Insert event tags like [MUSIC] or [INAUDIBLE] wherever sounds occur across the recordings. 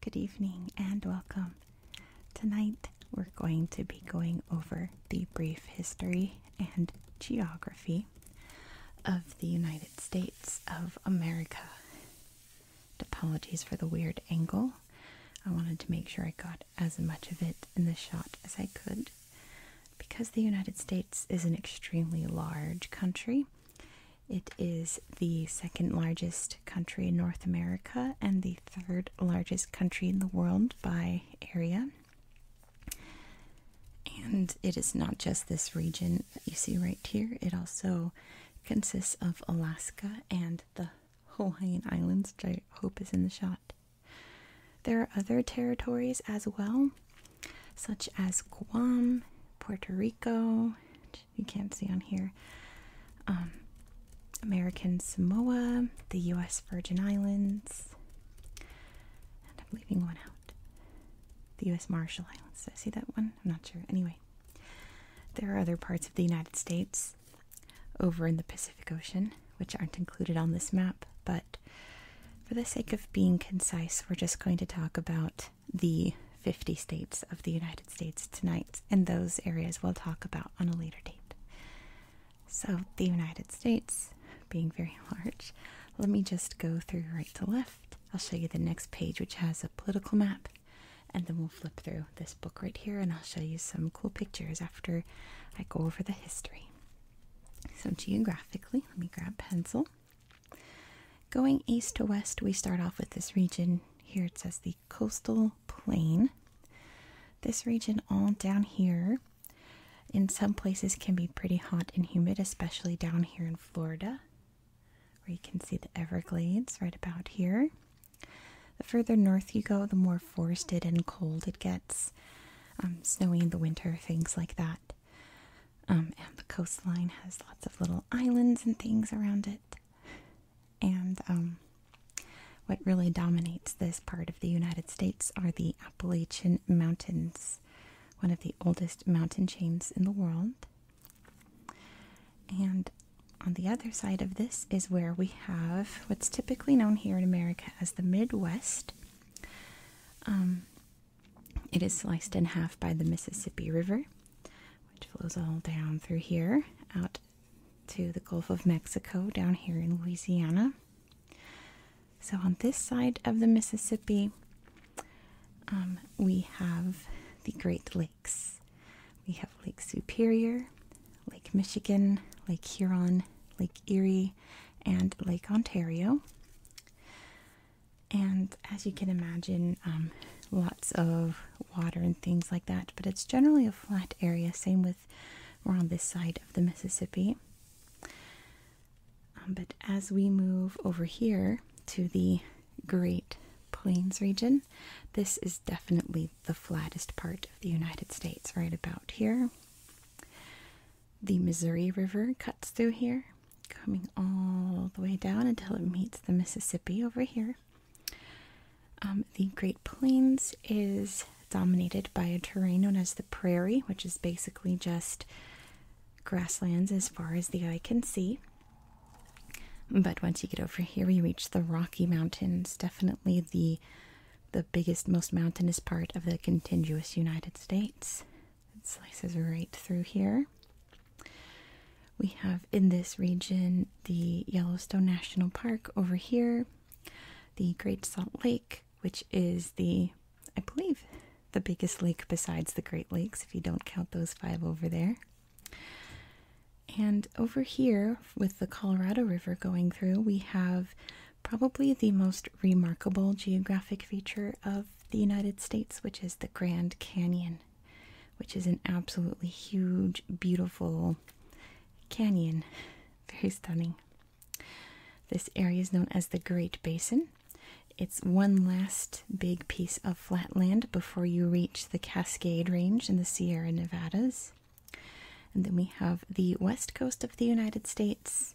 Good evening and welcome. Tonight we're going to be going over the brief history and geography of the United States of America. Apologies for the weird angle. I wanted to make sure I got as much of it in the shot as I could. Because the United States is an extremely large country, it is the second largest country in North America and the third largest country in the world by area. And it is not just this region that you see right here, it also consists of Alaska and the Hawaiian Islands, which I hope is in the shot. There are other territories as well, such as Guam, Puerto Rico, you can't see on here, um, American Samoa, the U.S. Virgin Islands, I'm leaving one out. The U.S. Marshall Islands. Did I see that one? I'm not sure. Anyway, there are other parts of the United States over in the Pacific Ocean which aren't included on this map, but for the sake of being concise, we're just going to talk about the 50 states of the United States tonight, and those areas we'll talk about on a later date. So, the United States being very [LAUGHS] large, let me just go through right to left. I'll show you the next page, which has a political map, and then we'll flip through this book right here and I'll show you some cool pictures after I go over the history. So, geographically, let me grab pencil. Going east to west, we start off with this region. Here it says the coastal plain. This region, all down here, in some places can be pretty hot and humid, especially down here in Florida, where you can see the Everglades right about here. The further north you go, the more forested and cold it gets um, snowy in the winter, things like that. Um, and the coastline has lots of little islands and things around it. And um, what really dominates this part of the United States are the Appalachian Mountains, one of the oldest mountain chains in the world. And on the other side of this is where we have what's typically known here in America as the Midwest. Um, it is sliced in half by the Mississippi River, which flows all down through here out to the Gulf of Mexico down here in Louisiana. So, on this side of the Mississippi, um, we have the Great Lakes. We have Lake Superior, Lake Michigan, Lake Huron, Lake Erie, and Lake Ontario. And as you can imagine, um, lots of water and things like that, but it's generally a flat area. Same with we're on this side of the Mississippi. Um, but as we move over here to the Great Plains region, this is definitely the flattest part of the United States, right about here. The Missouri River cuts through here, coming all the way down until it meets the Mississippi over here. Um, the Great Plains is dominated by a terrain known as the prairie, which is basically just grasslands as far as the eye can see. But once you get over here, you reach the Rocky Mountains, definitely the the biggest, most mountainous part of the contiguous United States. It slices right through here. We have in this region the Yellowstone National Park over here, the Great Salt Lake, which is the, I believe, the biggest lake besides the Great Lakes, if you don't count those five over there. And over here, with the Colorado River going through, we have probably the most remarkable geographic feature of the United States, which is the Grand Canyon, which is an absolutely huge, beautiful canyon. [LAUGHS] Very stunning. This area is known as the Great Basin. It's one last big piece of flat land before you reach the Cascade Range and the Sierra Nevadas. And then we have the west coast of the United States,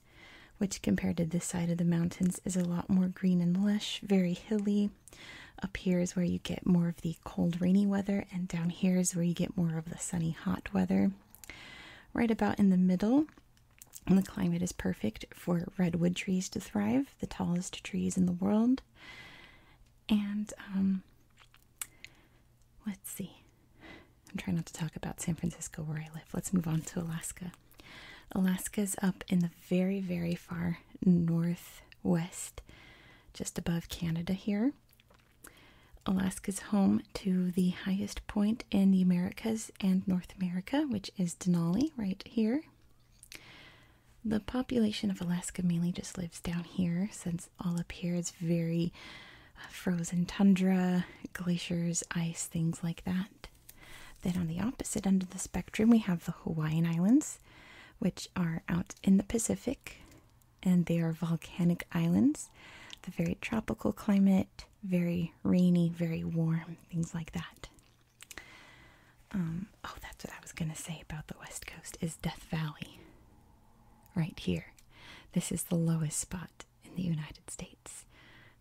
which compared to this side of the mountains is a lot more green and lush, very hilly. Up here is where you get more of the cold, rainy weather, and down here is where you get more of the sunny, hot weather. Right about in the middle, the climate is perfect for redwood trees to thrive, the tallest trees in the world. And um, Let's see. I'm trying not to talk about San Francisco where I live. Let's move on to Alaska. Alaska is up in the very, very far northwest, just above Canada here. Alaska's home to the highest point in the Americas and North America, which is Denali, right here. The population of Alaska mainly just lives down here, since all up here is very frozen tundra, glaciers, ice, things like that. Then on the opposite end of the spectrum, we have the Hawaiian Islands, which are out in the Pacific, and they are volcanic islands, the very tropical climate, very rainy, very warm, things like that. Um, oh, that's what I was going to say about the West Coast is Death Valley. Right here. This is the lowest spot in the United States.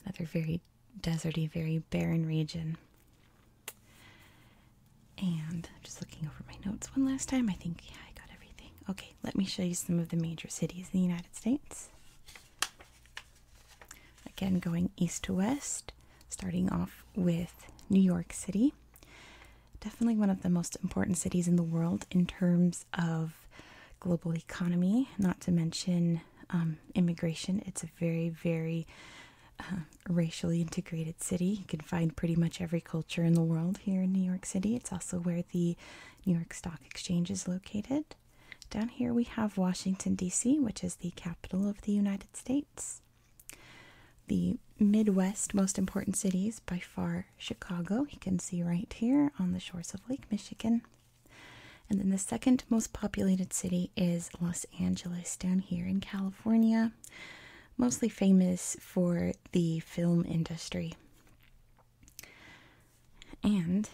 Another very deserty, very barren region. And I'm just looking over my notes one last time. I think, yeah, I got everything. Okay, let me show you some of the major cities in the United States. Again, going east to west, starting off with New York City. Definitely one of the most important cities in the world in terms of global economy, not to mention um, immigration. It's a very, very um, racially integrated city. You can find pretty much every culture in the world here in New York City. It's also where the New York Stock Exchange is located. Down here we have Washington, D.C., which is the capital of the United States. The Midwest most important cities by far Chicago. You can see right here on the shores of Lake Michigan. And then the second most populated city is Los Angeles, down here in California, mostly famous for the film industry. And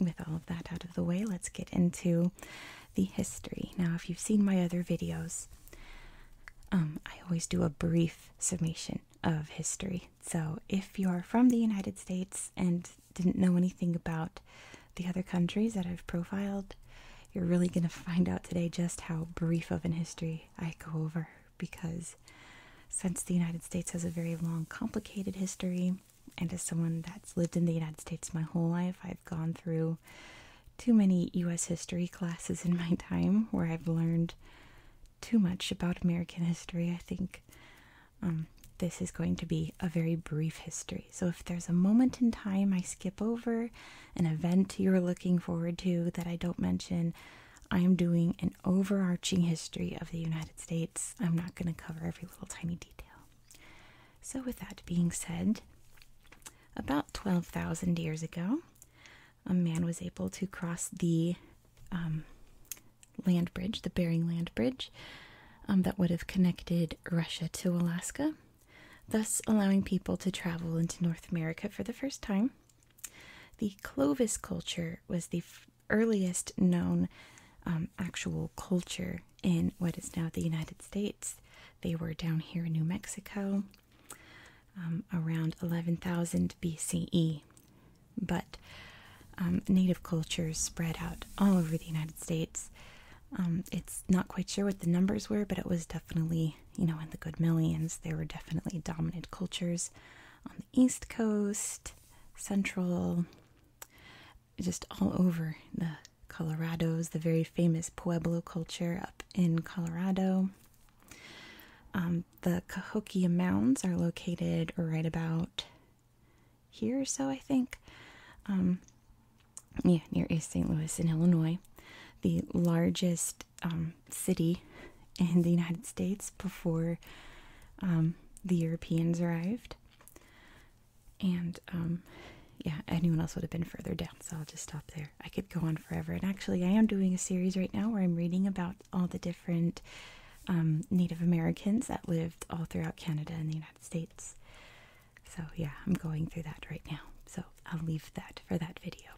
with all of that out of the way, let's get into the history. Now, if you've seen my other videos, um, I always do a brief summation of history so if you're from the United States and didn't know anything about the other countries that I've profiled, you're really going to find out today just how brief of an history I go over because since the United States has a very long, complicated history, and as someone that's lived in the United States my whole life, I've gone through too many US history classes in my [LAUGHS] time where I've learned too much about American history. I think um, this is going to be a very brief history. So, if there's a moment in time I skip over, an event you're looking forward to that I don't mention, I am doing an overarching history of the United States. I'm not going to cover every little tiny detail. So, with that being said, about 12,000 years ago, a man was able to cross the um, land bridge, the Bering Land Bridge, um, that would have connected Russia to Alaska, thus allowing people to travel into North America for the first time. The Clovis culture was the earliest known um, actual culture in what is now the United States. They were down here in New Mexico um, around 11,000 BCE but um, native cultures spread out all over the United States. Um, it's not quite sure what the numbers were, but it was definitely, you know, in the good millions. There were definitely dominant cultures on the East Coast, Central, just all over the Colorados, the very famous Pueblo culture up in Colorado. Um, the Cahokia Mounds are located right about here or so, I think. Um, yeah, near East St. Louis in Illinois, the largest um, city in the United States before um, the Europeans arrived. And yeah, anyone else would have been further down, so I'll just stop there. I could go on forever. And actually, I am doing a series right now where I'm reading about all the different um, Native Americans that lived all throughout Canada and the United States. So, yeah, I'm going through that right now. So, I'll leave that for that video.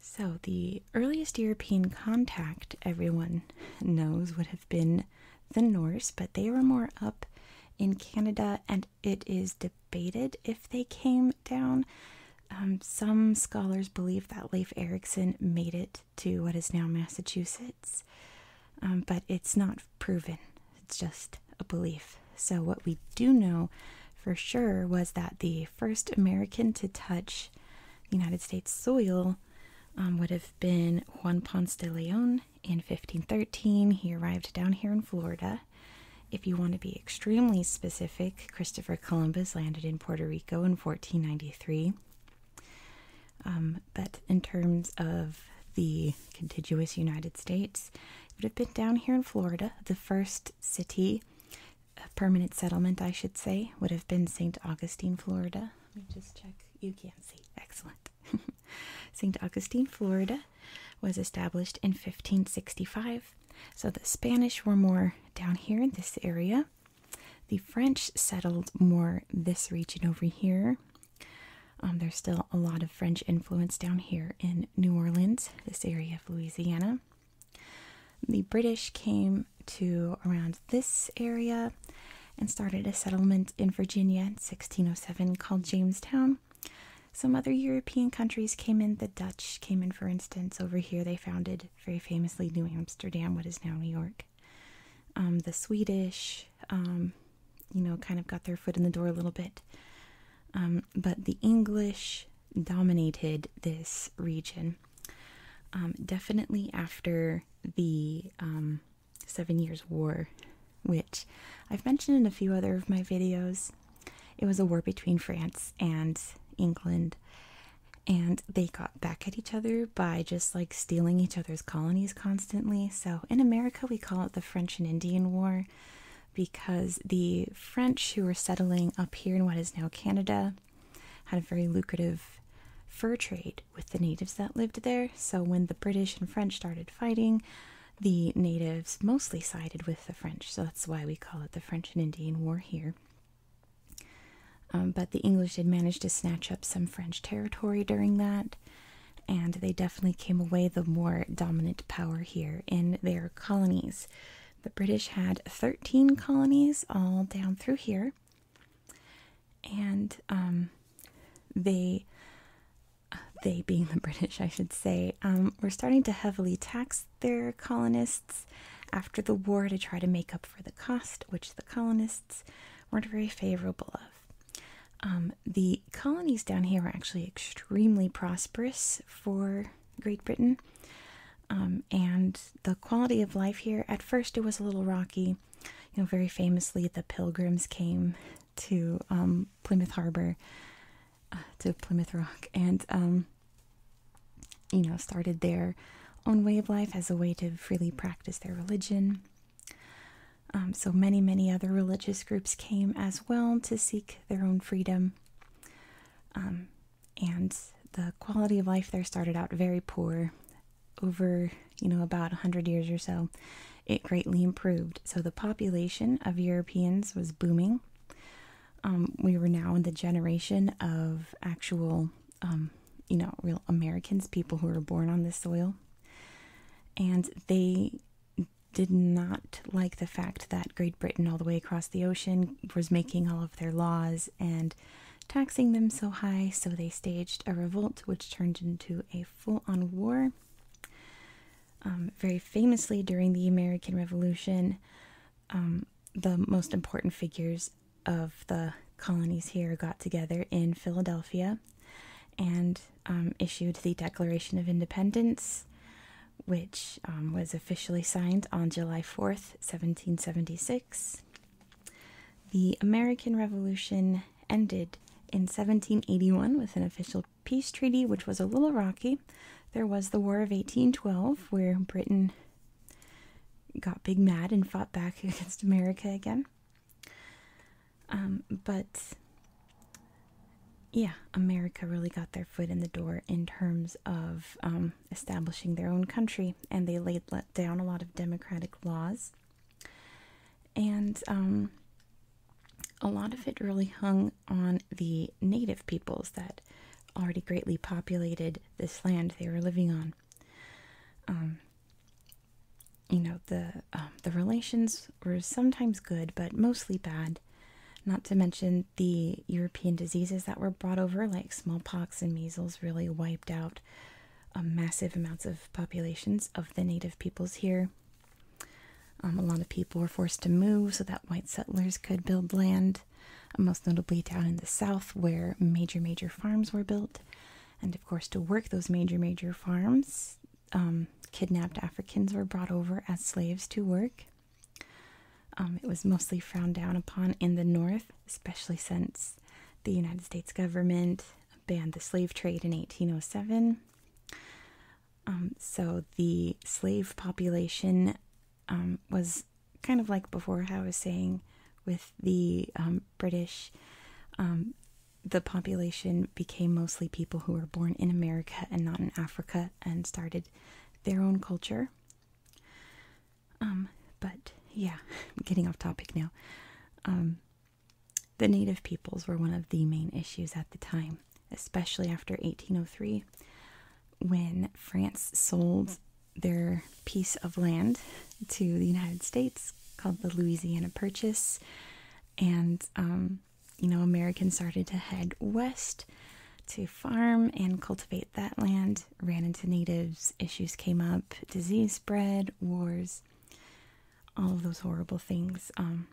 So, the earliest European contact everyone knows would have been the Norse, but they were more up in Canada, and it is debated if they came down um, some scholars believe that Leif Erikson made it to what is now Massachusetts, um, but it's not proven. It's just a belief. So, what we do know for sure was that the first American to touch the United States soil um, would have been Juan Ponce de Leon in 1513. He arrived down here in Florida. If you want to be extremely specific, Christopher Columbus landed in Puerto Rico in 1493 but um, in terms of the contiguous United States, it would have been down here in Florida. The first city, a permanent settlement, I should say, would have been St. Augustine, Florida. Let me just check. You can't see. Excellent. St. [LAUGHS] Augustine, Florida was established in 1565. So the Spanish were more down here in this area. The French settled more this region over here. Um, there's still a lot of French influence down here in New Orleans, this area of Louisiana. The British came to around this area and started a settlement in Virginia 1607 called Jamestown. Some other European countries came in, the Dutch came in, for instance. Over here, they founded very famously New Amsterdam, what is now New York. Um, the Swedish, um, you know, kind of got their foot in the door a little bit. Um, but the English dominated this region. definitely after the Seven Years' War, which I've mentioned in a few other of my videos. It was a war between France and England, and they got back at each other by just like stealing each other's colonies constantly. So in America, we call it the French and Indian War because the French who were settling up here in what is now Canada had a very lucrative fur trade with the natives that lived there. So when the British and French started fighting, the natives mostly sided with the French. So that's why we call it the French and Indian War here. Um, but the English did manage to snatch up some French territory during that, and they definitely came away the more dominant power here in their colonies. The British had 13 colonies all down through here, and um, they, uh, they being the [LAUGHS] British, I should say, um, were starting to heavily tax their colonists after the war to try to make up for the cost, which the colonists weren't very favorable of. Um, the colonies down here were actually extremely prosperous for Great Britain, um, and the quality of life here at first it was a little rocky. You know, very famously, the Pilgrims came to um, Plymouth Harbor, uh, to Plymouth Rock, and you know, started their own way of life as a way to freely practice their religion. Um, so many, many other religious groups came as well to seek their own freedom. Um, and the quality of life there started out very poor. Over, you know, about 100 years or so, it greatly improved. So the population of Europeans was booming. Um, we were now in the generation of actual um, you know, real Americans, people who were born on this soil. And they did not like the fact that Great Britain, all the way across the ocean, was making all of their laws and taxing them so high, so they staged a revolt which turned into a full on war. Um, very famously, during the American Revolution, um, the most important figures of the colonies here got together in Philadelphia and um, issued the Declaration of Independence, which um, was officially signed on July 4th, 1776. The American Revolution ended in 1781 with an official peace treaty, which was a little rocky. There was the War of 1812, where Britain got big mad and fought back [LAUGHS] against America again. Um, but yeah, America really got their foot in the door in terms of um, establishing their own country, and they laid down a lot of democratic laws. And um, a lot of it really hung on the native peoples that already greatly populated this land they were living on. Um, you know the um, the relations were sometimes good, but mostly bad. Not to mention the European diseases that were brought over, like smallpox and measles, really wiped out um, massive amounts of populations of the native peoples here. a lot of people were forced to move so that white settlers could build land most notably down in the south where major, major farms were built. And of course, to work those major, major farms, um, kidnapped Africans were brought over as slaves to work. Um, it was mostly frowned down upon in the north, especially since the United States government banned the slave trade in 1807. Um, so the slave population um, was kind of like before I was saying with the um, British, um, the population became mostly people who were born in America and not in Africa and started their own culture. but yeah, [LAUGHS] getting off topic now. the native peoples were one of the main issues at the time, especially after 1803 when France sold their piece of land to the United States called the Louisiana Purchase. And, um, you know, Americans started to head west to farm and cultivate that land, ran into natives, issues came up, disease spread, wars, all of those horrible things. Um,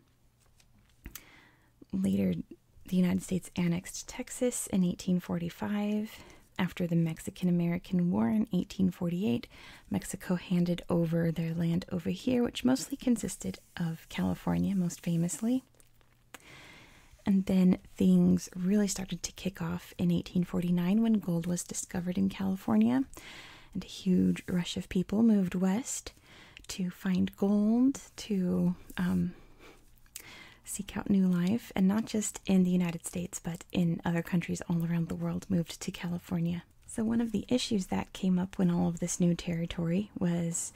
later, the United States annexed Texas in 1845. After the Mexican American War in 1848, Mexico handed over their land over here, which mostly consisted of California, most famously. And then things really started to kick off in 1849 when gold was discovered in California, and a huge rush of people moved west to find gold, to um, seek out new life, and not just in the United States, but in other countries all around the world, moved to California. So, one of the issues that came up when all of this new territory was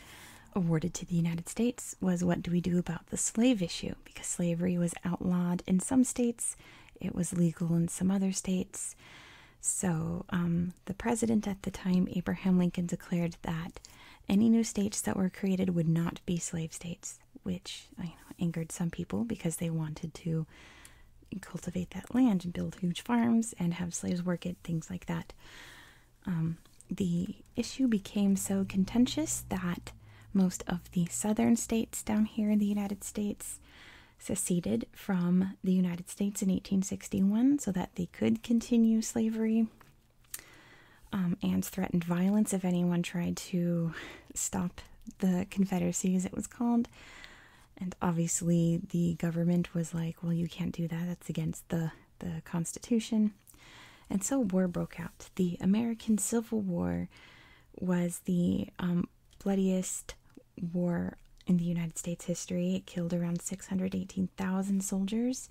awarded to the United States was what do we do about the slave issue? Because slavery was outlawed in some states, it was legal in some other states. So, um, the president at the time, Abraham Lincoln, declared that any new states that were created would not be slave states which angered some people because they wanted to cultivate that land and build huge farms and have slaves work it, things like that. Um, the issue became so contentious that most of the southern states down here in the United States seceded from the United States in 1861 so that they could continue slavery. Um, and threatened violence if anyone tried to stop the Confederacy, as it was called. And obviously, the government was like, "Well, you can't do that. That's against the the Constitution." And so, war broke out. The American Civil War was the um, bloodiest war in the United States history. It killed around six hundred eighteen thousand soldiers,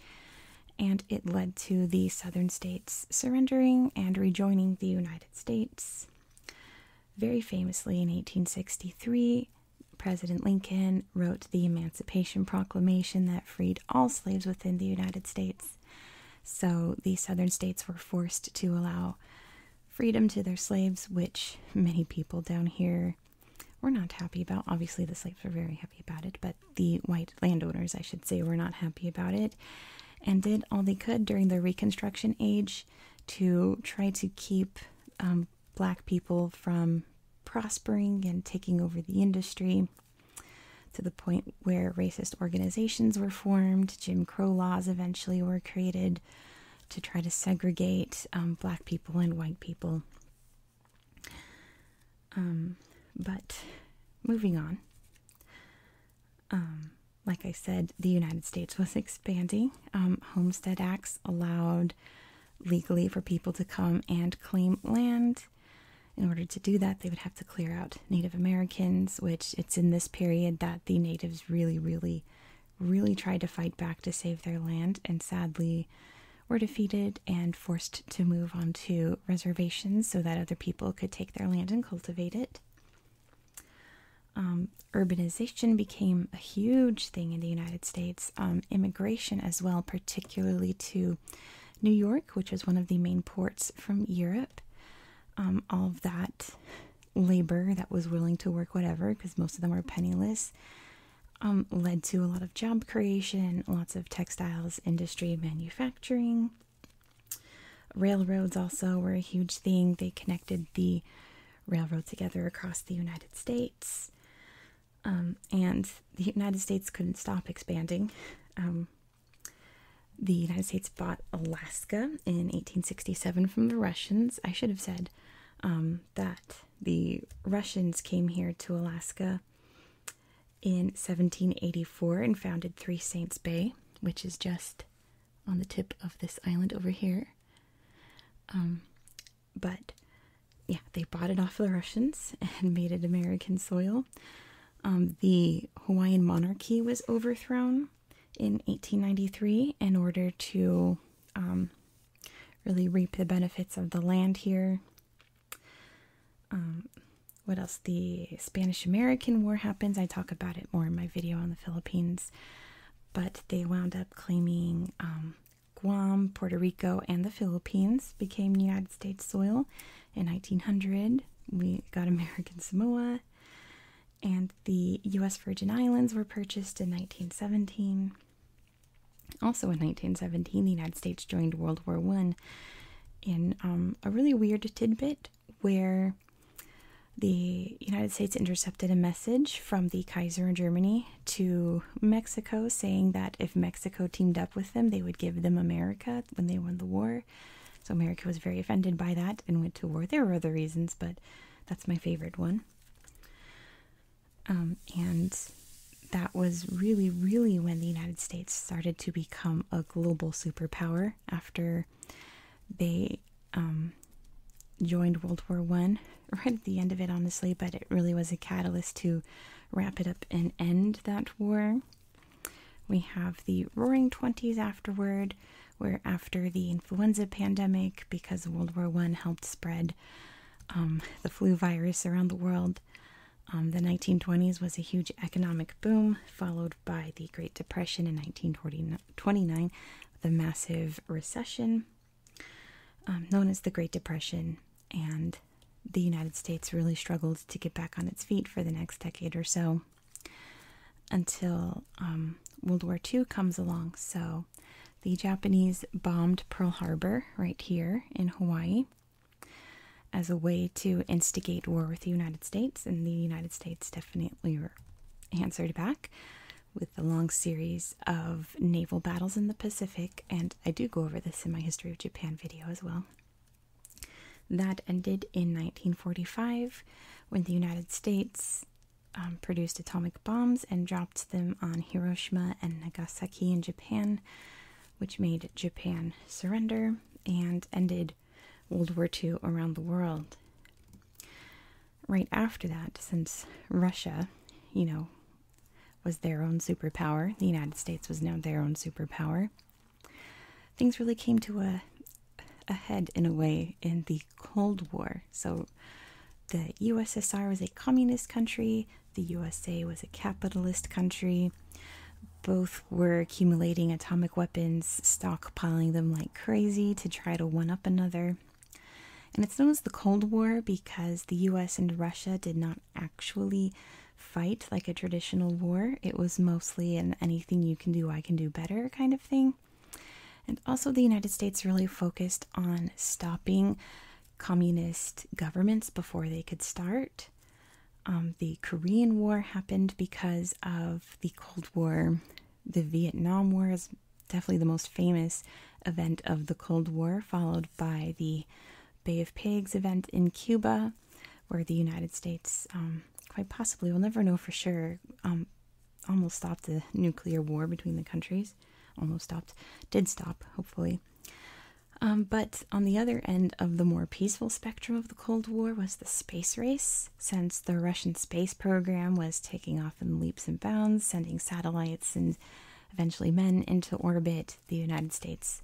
and it led to the Southern states. States surrendering and rejoining the United States. Very famously in 1863, President Lincoln wrote the Emancipation Proclamation that freed all slaves within the United States. So the southern states were forced to allow freedom to their slaves, which many people down here were not happy about. Obviously, the slaves were very happy about it, but the white landowners, I should say, were not happy about it and did all they could during the Reconstruction Age to try to keep um, black people from prospering and taking over the industry to the point where racist organizations were formed, Jim Crow laws eventually were created to try to segregate um, black people and white people. Um, but moving on, um, like I said, the United States was expanding. Um, homestead acts allowed legally for people to come and claim land. In order to do that, they would have to clear out Native Americans, which it's in this period that the natives really, really, really tried to fight back to save their land and sadly were defeated and forced to move onto reservations so that other people could take their land and cultivate it. Um, urbanization became a huge thing in the United States, um, immigration as well, particularly to New York, which was one of the main ports from Europe. Um, all of that labor that was willing to work whatever, because most of them were penniless, led to a lot of job creation, lots of textiles, industry, manufacturing. Railroads also were a huge thing. They connected the railroad together across the United States. Um, and the United States couldn't stop expanding. Um, the United States bought Alaska in 1867 from the Russians. I should have said um, that the Russians came here to Alaska in 1784 and founded Three Saints Bay, which is just on the tip of this island over here. Um, but yeah, they bought it off the Russians [LAUGHS] and made it American soil. Um, the Hawaiian monarchy was overthrown in 1893 in order to um, really reap the benefits of the land here what else? The Spanish American War happens. I talk about it more in my video on the Philippines, but they wound up claiming um, Guam, Puerto Rico, and the Philippines became United States soil in 1900. We got [LAUGHS] American Samoa, and the U.S. Virgin Islands were purchased in 1917. Also in 1917, the United States joined World War One. In um, a really weird tidbit, where the United States intercepted a message from the Kaiser in Germany to Mexico saying that if Mexico teamed up with them, they would give them America when they won the war. So America was very offended by that and went to war. There were other reasons, but that's my favorite one. Um, and that was really, really when the United States started to become a global superpower after they um, joined World War One, [LAUGHS] right at the end of it, honestly. But it really was a catalyst to wrap it up and end that war. We have the Roaring Twenties afterward, where after the influenza pandemic, because World War One helped spread um, the flu virus around the world. Um, the 1920s was a huge economic boom followed by the Great Depression in 1929, the massive recession um, known as the Great Depression, and the United States really struggled to get back on its feet for the next decade or so until um, World War II comes along. So the Japanese bombed Pearl Harbor right here in Hawaii as a way to instigate war with the United States, and the United States definitely answered back with a long series of naval battles in the Pacific, and I do go over this in my History of Japan video as well. That ended in 1945 when the United States um, produced atomic bombs and dropped them on Hiroshima and Nagasaki in Japan, which made Japan surrender and ended World War II around the world. Right after that, since Russia, you know, was their own superpower, the United States was now their own superpower, things really came to a, a head in a way in the Cold War. So the USSR was a communist country, the USA was a capitalist country both were accumulating atomic weapons, stockpiling them like crazy to try to one up another. And it's known as the Cold War because the US and Russia did not actually fight like a traditional war. It was mostly an anything you can do, I can do better kind of thing. And also, the United States really focused on stopping communist governments before they could start. Um, the Korean War happened because of the Cold War. The Vietnam War is definitely the most famous event of the Cold War, followed by the Bay of Pigs event in Cuba, where the United States, um, quite possibly, we'll never know for sure, um, almost stopped the nuclear war between the countries. Almost stopped, did stop, hopefully. but on the other end of the more peaceful spectrum the Cold War was the space race, since the Russian space program was taking off in leaps and bounds, sending satellites and eventually men into orbit. The United States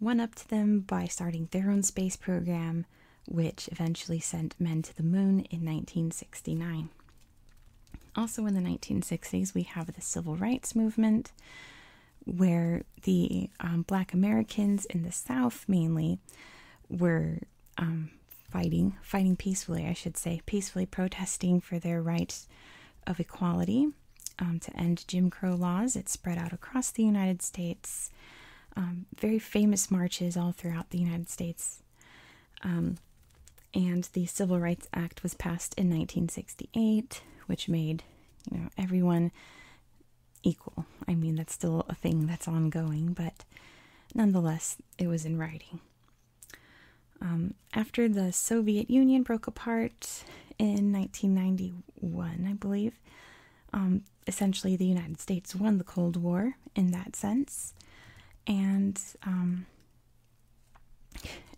went up to them by starting their own space program, which eventually sent men to the moon in 1969. Also, in the 1960s, we have the Civil Rights Movement, where the um, Black Americans in the South mainly were um, fighting, fighting peacefully, I should say, peacefully protesting for their right of equality um, to end Jim Crow laws. It spread out across the United States. Um, very famous marches all throughout the United States. and the Civil Rights Act was passed in 1968, which made you know everyone equal. I mean, that's still a thing that's ongoing, but nonetheless, it was in writing. Um, after the Soviet Union broke apart in 1991, I believe, um, essentially the United States won the Cold War in that sense. And um,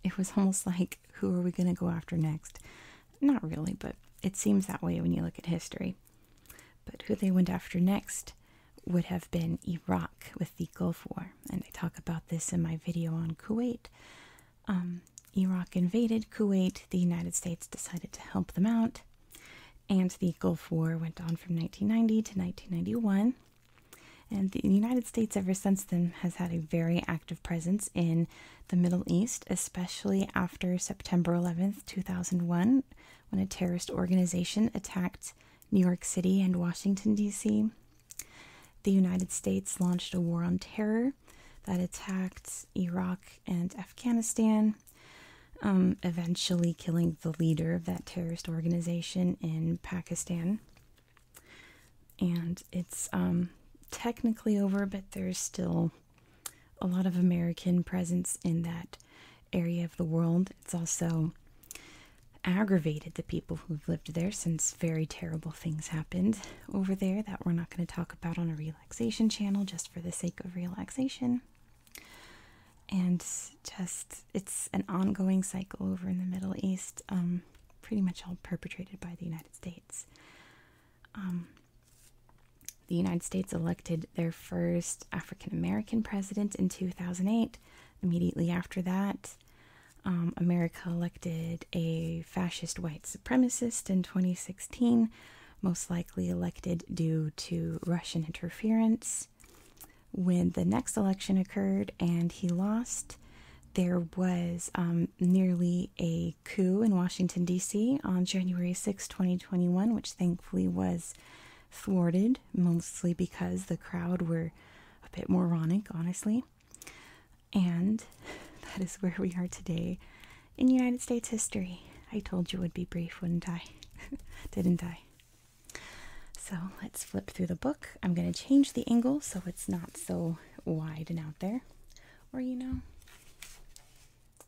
it was almost like, who are we going to go after next? Not really, but it seems that way when you look at history. But who they went after next would have been Iraq with the Gulf War, and I talk about this in my video on Kuwait. Um, Iraq invaded Kuwait, the United States decided to help them out, and the Gulf War went on from 1990 to 1991. And the United States, ever since then, has had a very active presence in the Middle East, especially after September 11th, 2001, when a terrorist organization attacked New York City and Washington, D.C. The United States launched a war on terror that attacked Iraq and Afghanistan, um, eventually killing the leader of that terrorist organization in Pakistan. And it's um, technically over, but there's still a lot of American presence in that area of the world. It's also aggravated the people who've lived there since very terrible things happened over there that we're not going to talk about on a relaxation channel just for the sake of relaxation. And just, it's an ongoing cycle over in the Middle East, um, pretty much all perpetrated by the United States. Um, the United States elected their first African American president in 2008. Immediately after that, um, America elected a fascist white supremacist in 2016, most likely elected due to Russian interference. When the next election occurred and he lost, there was um, nearly a coup in Washington, D.C. on January 6, 2021, which thankfully was thwarted, mostly because the crowd were a bit moronic, honestly. And [LAUGHS] that is where we are today in United States history. I told you would be brief, wouldn't I? [LAUGHS] Didn't I? So let's flip through the book. I'm going to change the angle so it's not so wide and out there. Or, you know,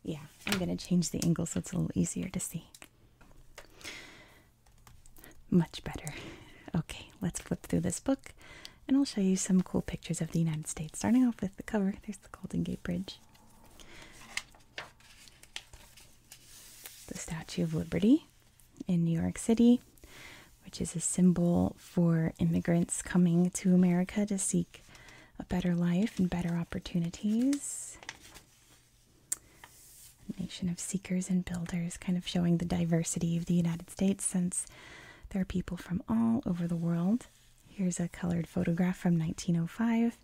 yeah, I'm going to change the angle so it's a little easier to see. Much better. Okay, let's flip through this book and I'll show you some cool pictures of the United States. Starting off with the cover, there's the Golden Gate Bridge, the Statue of Liberty in New York City, which is a symbol for immigrants coming to America to seek a better life and better opportunities. nation of seekers and builders, kind of showing the diversity of the United States since there are people from all over the world. Here's a colored photograph from 1905.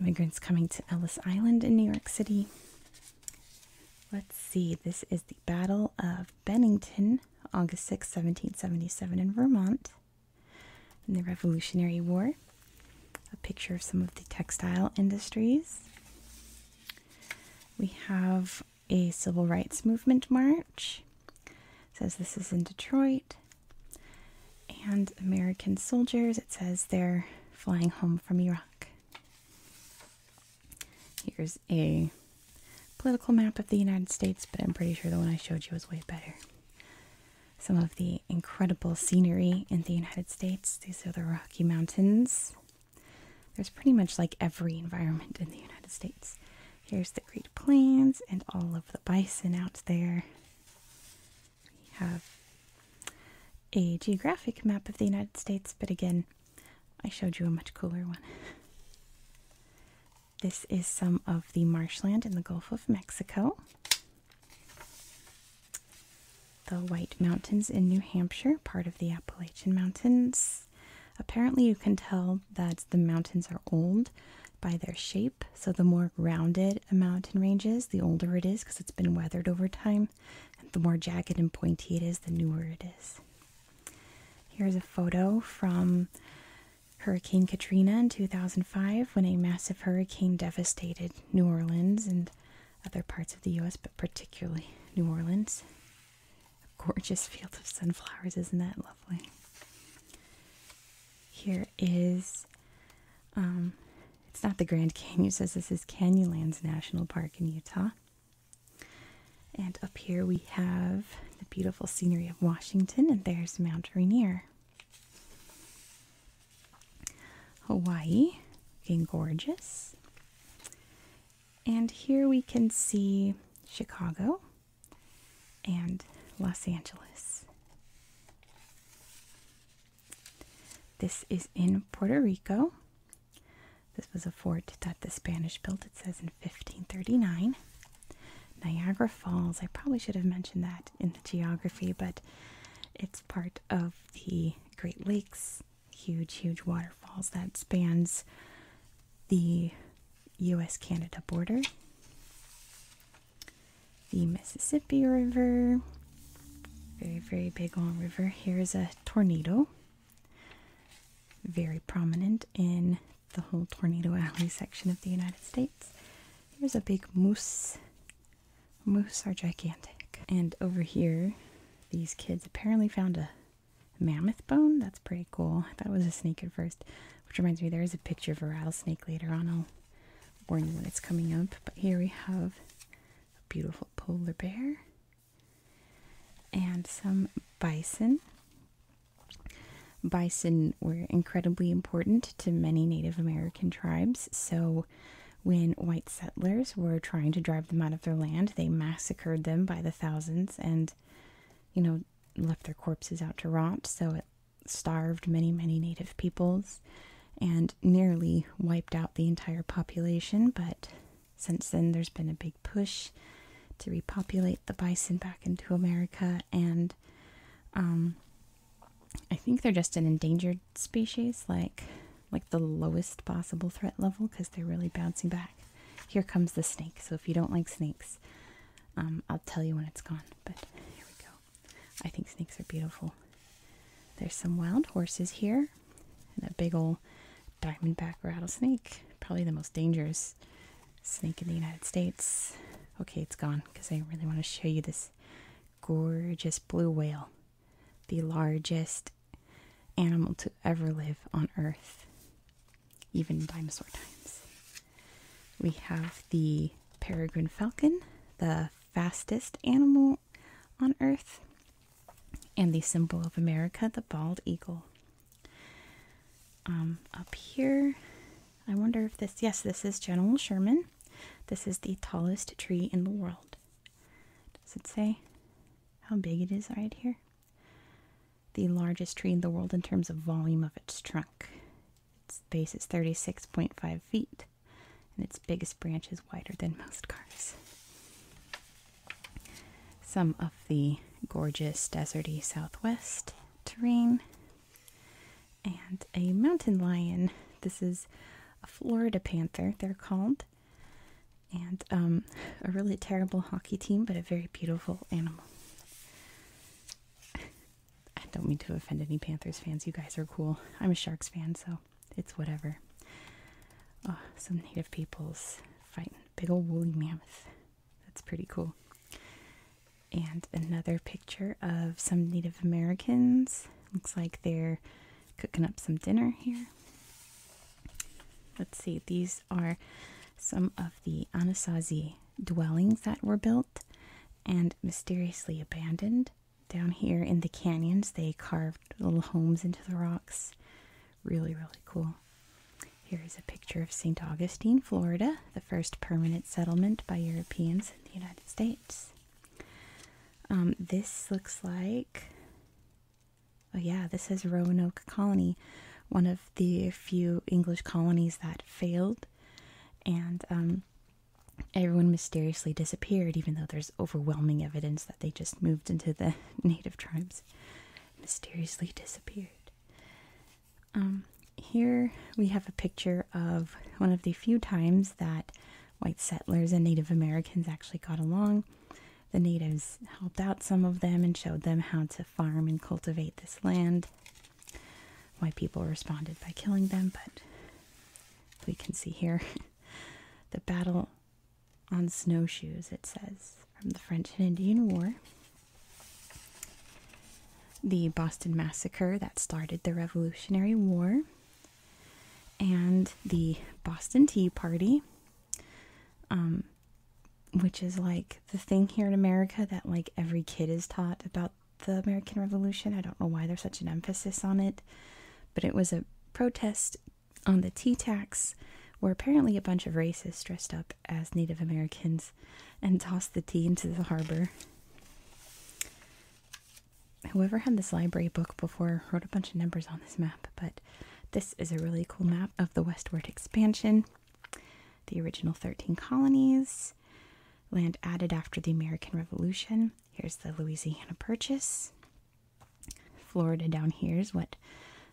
Immigrants coming to Ellis Island in New York City. Let's see, this is the Battle of Bennington, August 6, 1777, in Vermont in the Revolutionary War, a picture of some of the textile industries. We have a civil rights movement march. It says this is in Detroit. And American soldiers, it says they're flying home from Iraq. Here's a political map of the United States, but I'm pretty sure the one I showed you was way better some of the incredible scenery in the United States. These are the Rocky Mountains. There's pretty much like every environment in the United States. Here's the Great Plains and all of the bison out there. We have a geographic map of the United States, but again, I showed you a much cooler one. This is some of the marshland in the Gulf of Mexico, the White Mountains in New Hampshire, part of the Appalachian Mountains. Apparently, you can tell that the mountains are old by their shape. So, the more rounded a mountain range is, the older it is because it's been weathered over time. And the more jagged and pointy it is, the newer it is. Here's a photo from Hurricane Katrina in 2005, when a massive hurricane devastated New Orleans and other parts of the US, but particularly New Orleans. A gorgeous field of sunflowers, isn't that lovely? Here is, um, it's not the Grand Canyon, says this is Canyonlands National Park in Utah. And up here we have the beautiful scenery of Washington, and there's Mount Rainier. Hawaii, looking gorgeous. And here we can see Chicago and Los Angeles. This is in Puerto Rico. This was a fort that the Spanish built, it says in 1539. Niagara Falls, I probably should have mentioned that in the geography, but it's part of the Great Lakes, huge, huge waterfalls that spans the US Canada border, the Mississippi River, very, very big long river. Here's a tornado, very prominent in the whole Tornado Alley section of the United States. Here's a big moose. Moose are gigantic. And over here, these kids apparently found a mammoth bone. That's pretty cool. I thought it was a snake at first, which reminds me there is a picture of a rattlesnake later on. I'll warn you when it's coming up. But here we have a beautiful polar bear and some bison. Bison were incredibly important to many Native American tribes, so when white settlers were trying to drive them out of their land, they massacred them by the thousands and, you know, left their corpses out to rot, so it starved many, many Native peoples and nearly wiped out the entire population. But since then, there's been a big push to repopulate the bison back into America, and um, I think they're just an endangered species, like like the lowest possible threat level, because they're really bouncing back. Here comes the snake. So if you don't like snakes, um, I'll tell you when it's gone. But here we go. I think snakes are beautiful. There's some wild horses here, and a big old diamondback rattlesnake. Probably the most dangerous snake in the United States. Okay, it's gone because I really want to show you this gorgeous blue whale, the largest animal to ever live on Earth, even dinosaur times. We have the peregrine falcon, the fastest animal on Earth, and the symbol of America, the bald eagle. Um, up here I wonder if this, yes, this is General Sherman. This is the tallest tree in the world. Does it say how big it is right here? The largest tree in the world in terms of volume of its trunk. Its base is 36.5 feet, and its biggest branch is wider than most cars. Some of the gorgeous deserty southwest terrain and a mountain lion. This is a Florida panther, they're called. And um, a really terrible hockey team, but a very beautiful animal. I don't mean to offend any Panthers fans. You guys are cool. I'm a Sharks fan, so it's whatever. Ah, some native peoples fighting big old woolly mammoth. That's pretty cool. And another picture of some Native Americans. Looks like they're cooking up some dinner here. Let's see, these are some of the Anasazi dwellings that were built and mysteriously abandoned. Down here in the canyons, they carved little homes into the rocks. Really, really cool. Here is a picture of St. Augustine, Florida, the first permanent settlement by Europeans the United States. Um, this looks like, oh yeah, this is Roanoke Colony, one of the few English colonies that failed, and um, everyone mysteriously disappeared, even though there's overwhelming evidence that they just moved into the [LAUGHS] native tribes. Mysteriously disappeared. Um, here we have a picture of one of the few times that white settlers and Native Americans actually got along. The natives helped out some of them and showed them how to farm and cultivate this land. White people responded by killing them, but we can see here [LAUGHS] the battle on snowshoes, it says, from the French and Indian War the Boston Massacre that started the Revolutionary War, and the Boston Tea Party, um, which is like the thing here in America that like every kid is taught about the American Revolution. I don't know why there's such an emphasis on it, but it was a protest on the tea tax where apparently a bunch of racists dressed up as Native Americans and tossed the tea into the harbor. Whoever had this library book before wrote a bunch of numbers on this map, but this is a really cool map of the westward expansion, the original 13 colonies, land added after the American Revolution. Here's the Louisiana Purchase. Florida down here is what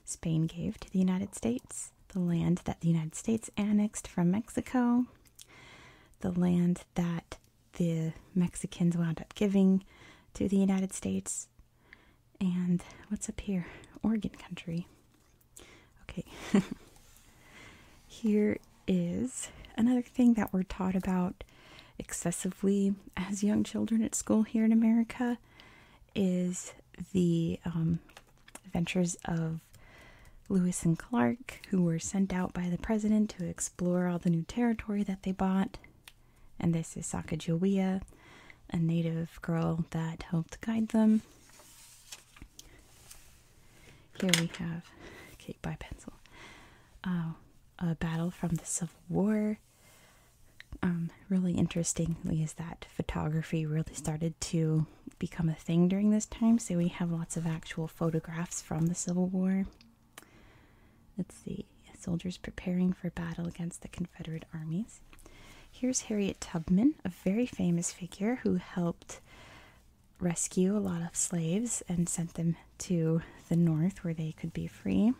Spain gave to the United States, the land that the United States annexed from Mexico the land that the Mexicans wound up giving to the United States. And what's up here? Oregon country. Okay. [LAUGHS] here is another thing that we're taught about excessively as young children at school here in America is the um, adventures of Lewis and Clark, who were sent out by the president to explore all the new territory that they bought. And this is Sacagawea, a native girl that helped guide them. Here we have Kate by Pencil. Uh, a battle from the Civil War. Um, really interestingly, is that photography really started to become a thing during this time, so we have lots of actual photographs from the Civil War. Let's see, soldiers preparing for battle against the Confederate armies. Here's Harriet Tubman, a very famous figure who helped rescue a lot of slaves and sent them to the north where they could be free.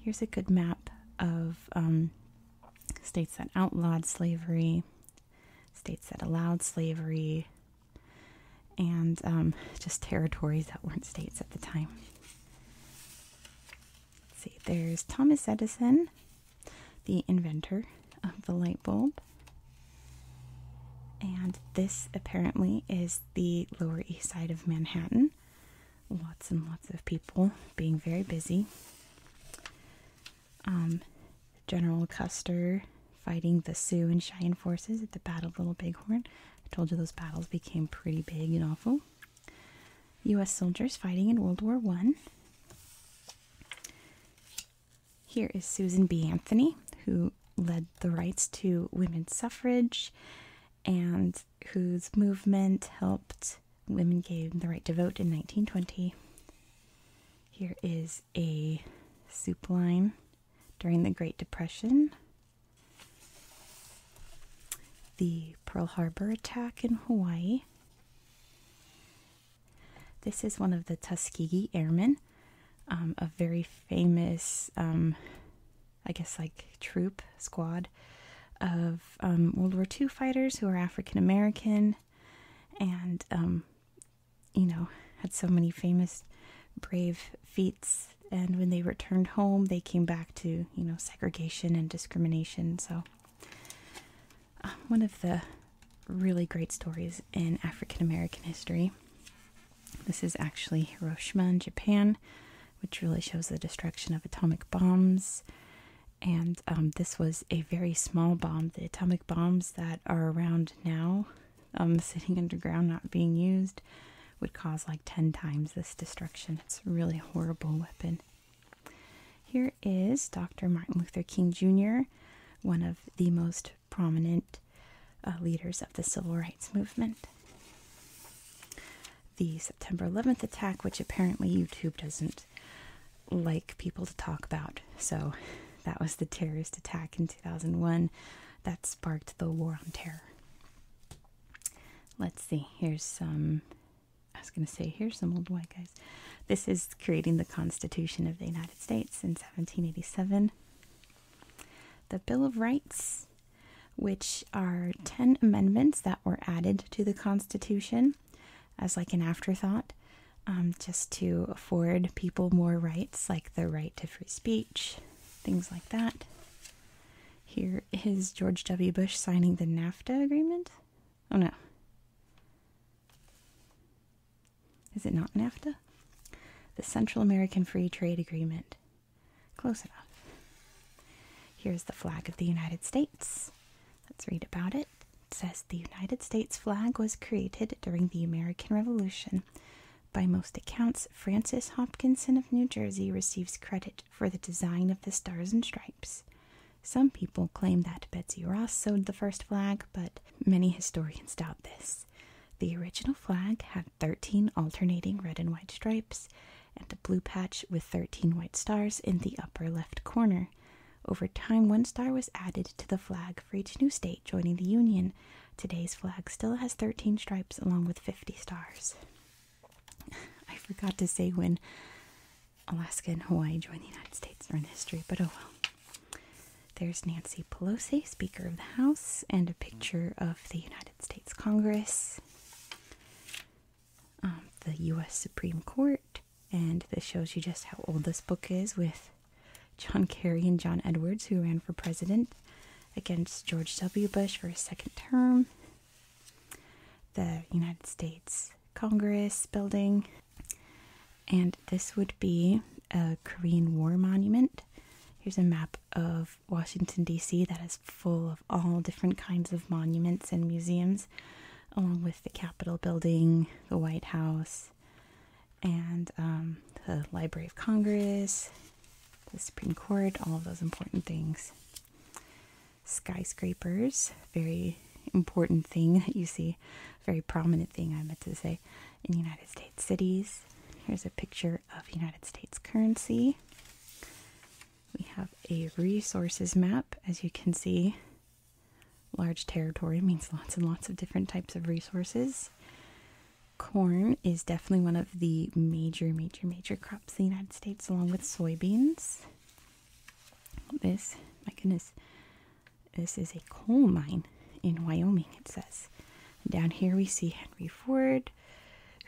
Here's a good map of um, states that outlawed slavery states that allowed slavery, and um, just territories that weren't states at the time. Let's see, there's Thomas Edison, the inventor of the light bulb. And this apparently is the Lower East Side of Manhattan. Lots and lots of people being very busy. Um, General Custer fighting the Sioux and Cheyenne forces at the Battle of Little Bighorn. I told you those battles became pretty big and awful. U.S. soldiers fighting in World War One. Here is Susan B. Anthony, who led the rights to women's suffrage and whose movement helped women gain the right to vote in 1920. Here is a soup line during the Great Depression. The Pearl Harbor attack in Hawaii. This is one of the Tuskegee Airmen, um, a very famous, um, I guess, like troop squad of um, World War II fighters who are African American and you know, had so many famous, brave feats. And when they returned home, they came back to, you know, segregation and discrimination. So, uh, one of the really great stories in African American history. This is actually Hiroshima Japan, which really shows the destruction of atomic bombs. And um, this was a very small bomb. The atomic bombs that are around now, um, sitting underground not being used, would cause like 10 times this destruction. It's a really horrible weapon. Here is Dr. Martin Luther King Jr., one of the most prominent uh, leaders of the civil rights movement. The September 11th attack, which apparently YouTube doesn't like people to talk about. So that was the terrorist attack in 2001 that sparked the war on terror. Let's see, here's some. I was going to say, here's some old white guys. This is creating the Constitution of the United States in 1787. The Bill of Rights, which are 10 amendments that were added to the Constitution as like an afterthought um, just to afford people more rights, like the right to free speech, things like that. Here is George W. Bush signing the NAFTA agreement. Oh no. Is it not NAFTA? The Central American Free Trade Agreement. Close enough. Here's the flag of the United States. Let's read about it says the United States flag was created during the American Revolution. By most accounts, Francis Hopkinson of New Jersey receives credit for the design of the Stars and Stripes. Some people claim that Betsy Ross sewed the first flag, but many historians doubt this. The original flag had 13 alternating red and white stripes and a blue patch with 13 white stars in the upper left corner. Over time, one star was added to the flag for each new state joining the Union. Today's flag still has 13 stripes along with 50 stars. I forgot to say when Alaska and Hawaii joined the United States are in history, but oh well. There's Nancy Pelosi, Speaker of the House, and a picture of the United States Congress, um, the U.S. Supreme Court, and this shows you just how old this book is with John Kerry and John Edwards, who ran for president against George W. Bush for his second term. The United States Congress building. And this would be a Korean War monument. Here's a map of Washington, D.C., that is full of all different kinds of monuments and museums, along with the Capitol building, the White House, and um, the Library of Congress, the Supreme Court, all of those important things. Skyscrapers, very important thing that [LAUGHS] you see, very prominent thing I meant to say, in United States cities. Here's a picture of United States currency. We have a resources map, as you can see, Large territory means lots and lots of different types of resources. Corn is definitely one of the major, major, major crops in the United States, along with soybeans. This, my goodness, this is a coal mine in Wyoming, it says. down here we see Henry Ford,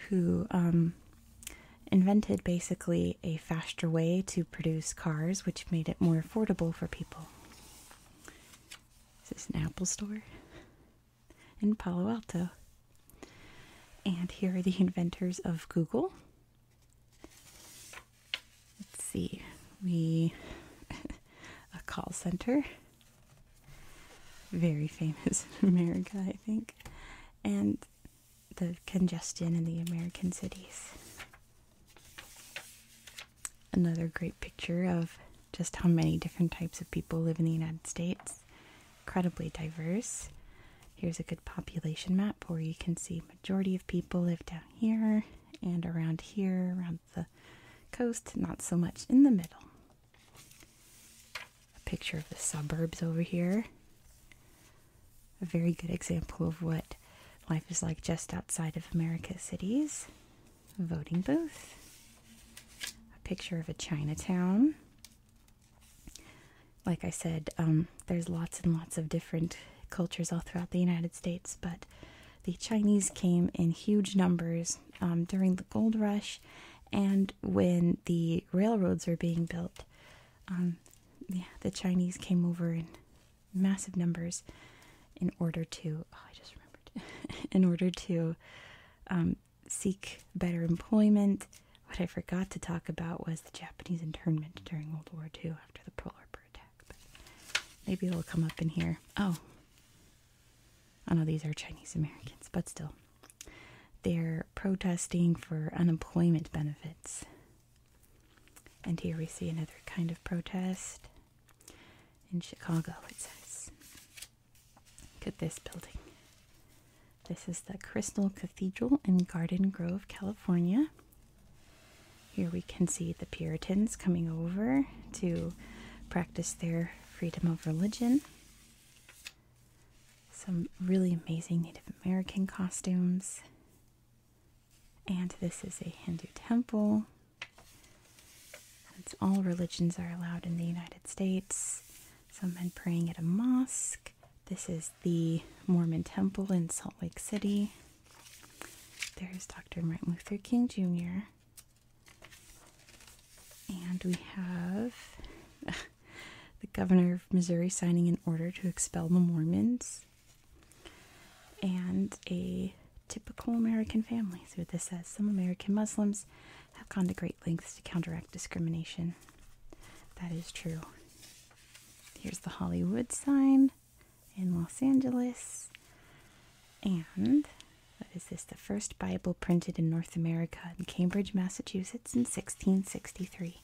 who um, invented basically a faster way to produce cars, which made it more affordable for people. This Is an Apple store in Palo Alto? And here are the inventors of Google. Let's see, we [LAUGHS] a call center, very famous [LAUGHS] in America, I think, and the congestion in the American cities another great picture of just how many different types of people live in the United States. Incredibly diverse. Here's a good population map where you can see majority of people live down here and around here, around the coast, not so much in the middle. A picture of the suburbs over here. A very good example of what life is like just outside of America's cities voting booth, a picture of a Chinatown. Like I said, um, there's lots and lots of different cultures all throughout the United States, but the Chinese came in huge numbers um, during the gold rush and when the railroads were being built. Um, the Chinese came over and massive numbers in order to oh I just remembered [LAUGHS] in order to um, seek better employment. What I forgot to talk about was the Japanese internment during World War II after the Pearl Harbor attack. maybe it'll come up in here. Oh, I oh, know these are Chinese Americans, but still. They're protesting for unemployment benefits. And here we see another kind of protest in Chicago, it says. Look at this building. This is the Crystal Cathedral in Garden Grove, California. Here we can see the Puritans coming over to practice their freedom of religion. Some really amazing Native American costumes. And this is a Hindu temple. all religions are allowed in the United States, some men praying at a mosque. This is the Mormon temple in Salt Lake City. There's Dr. Martin Luther King Jr. And we have [LAUGHS] the governor of Missouri signing an order to expel the Mormons and a typical American family. See what this says some American Muslims have gone to great lengths to counteract discrimination. That is true. Here's the Hollywood sign in Los Angeles. And what is this? The first Bible printed in North America in Cambridge, Massachusetts in 1663.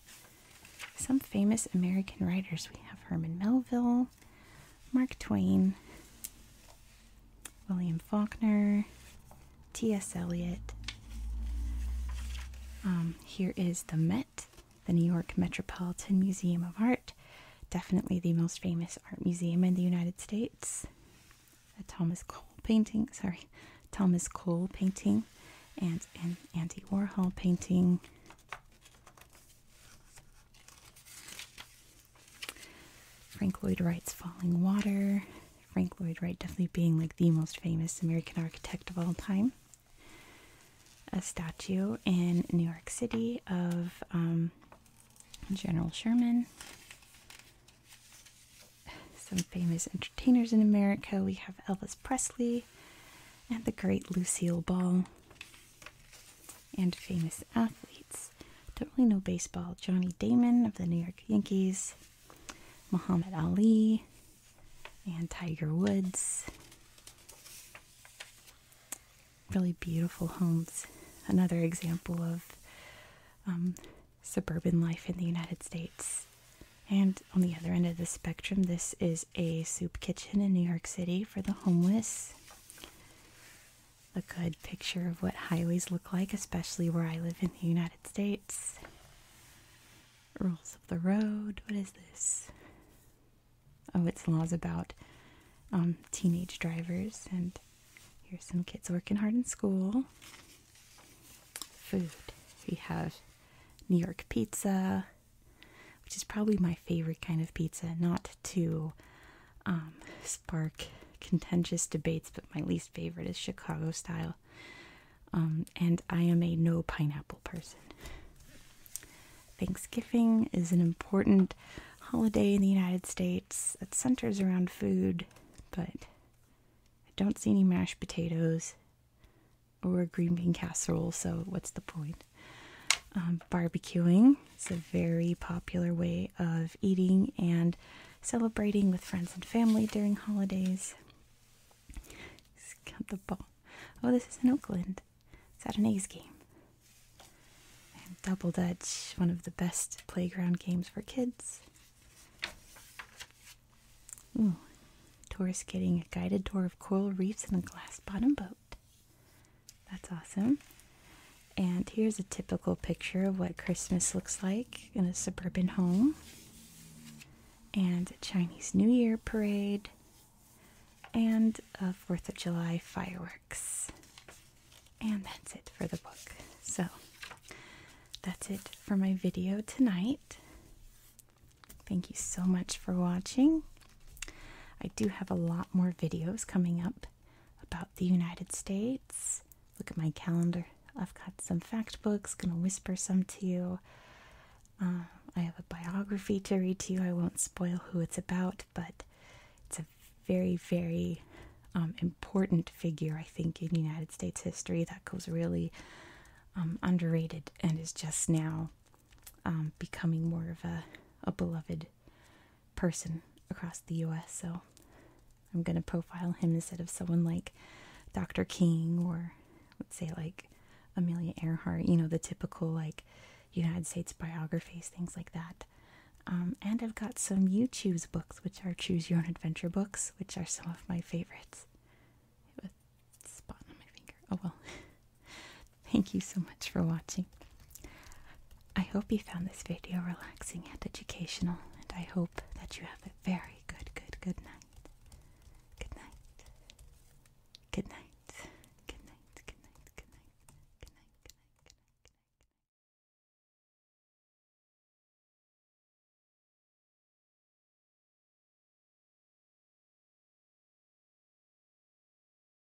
Some famous American writers we have Herman Melville, Mark Twain, William Faulkner, T.S. Eliot. Um, here is the Met, the New York Metropolitan Museum of Art, definitely the most famous art museum in the United States. A Thomas Cole painting, sorry, Thomas Cole painting, and an Andy Warhol painting. Frank Lloyd Wright's Falling Water. Frank Lloyd Wright definitely being like the most famous American architect of all time. A statue in New York City of um, General Sherman. Some famous entertainers in America. We have Elvis Presley and the great Lucille Ball and famous athletes. Don't really know baseball. Johnny Damon of the New York Yankees, Muhammad Ali, and Tiger Woods. Really beautiful homes. Another example of um, suburban life in the United States. And on the other end of the spectrum, this is a soup kitchen in New York City for the homeless a good picture of what highways look like, especially where I live in the United States. Rules of the road. What is this? Oh, it's laws about um, teenage drivers. And here's some kids working hard in school. Food. We have New York pizza, which is probably my favorite kind of pizza. Not to um, spark contentious debates, but my least favorite is Chicago style. Um, and I am a no pineapple person. Thanksgiving is an important holiday in the United States that centers around food, but I don't see any mashed potatoes or green bean casserole, so what's the point? Um, barbecuing its a very popular way of eating and celebrating with friends and family during holidays. Count the ball. Oh, this is in Oakland. It's at an A's game. And Double Dutch, one of the best playground games for kids. Ooh, tourists getting a guided tour of coral reefs in a glass bottom boat. That's awesome. And here's a typical picture of what Christmas looks like in a suburban home. And a Chinese New Year parade. And a 4th of July fireworks. And that's it for the book. So that's it for my video tonight. Thank you so much for watching. I do have a lot more videos coming up, about the United States. Look at my calendar. I've got some fact books, gonna whisper some to you. Uh, I have a biography to read to you. I won't spoil who it's about, but it's a very, very um, important figure, I think, in United States history that goes really um, underrated and is just now um, becoming more of a beloved person across the US. So I'm going to profile him instead of someone like Dr. King or let's say like Amelia Earhart, you know, the typical like United States biographies, things like that. Um, and I've got some You Choose books, which are Choose Your Own Adventure books, which are some of my favorites. spot on my finger. Oh well. [LAUGHS] Thank you so much for watching. I hope you found this video relaxing and educational, and I hope that you have a very good, good, good night. Good night. Good night. Good night. Good night. Good night. Good night. Good night. Good night.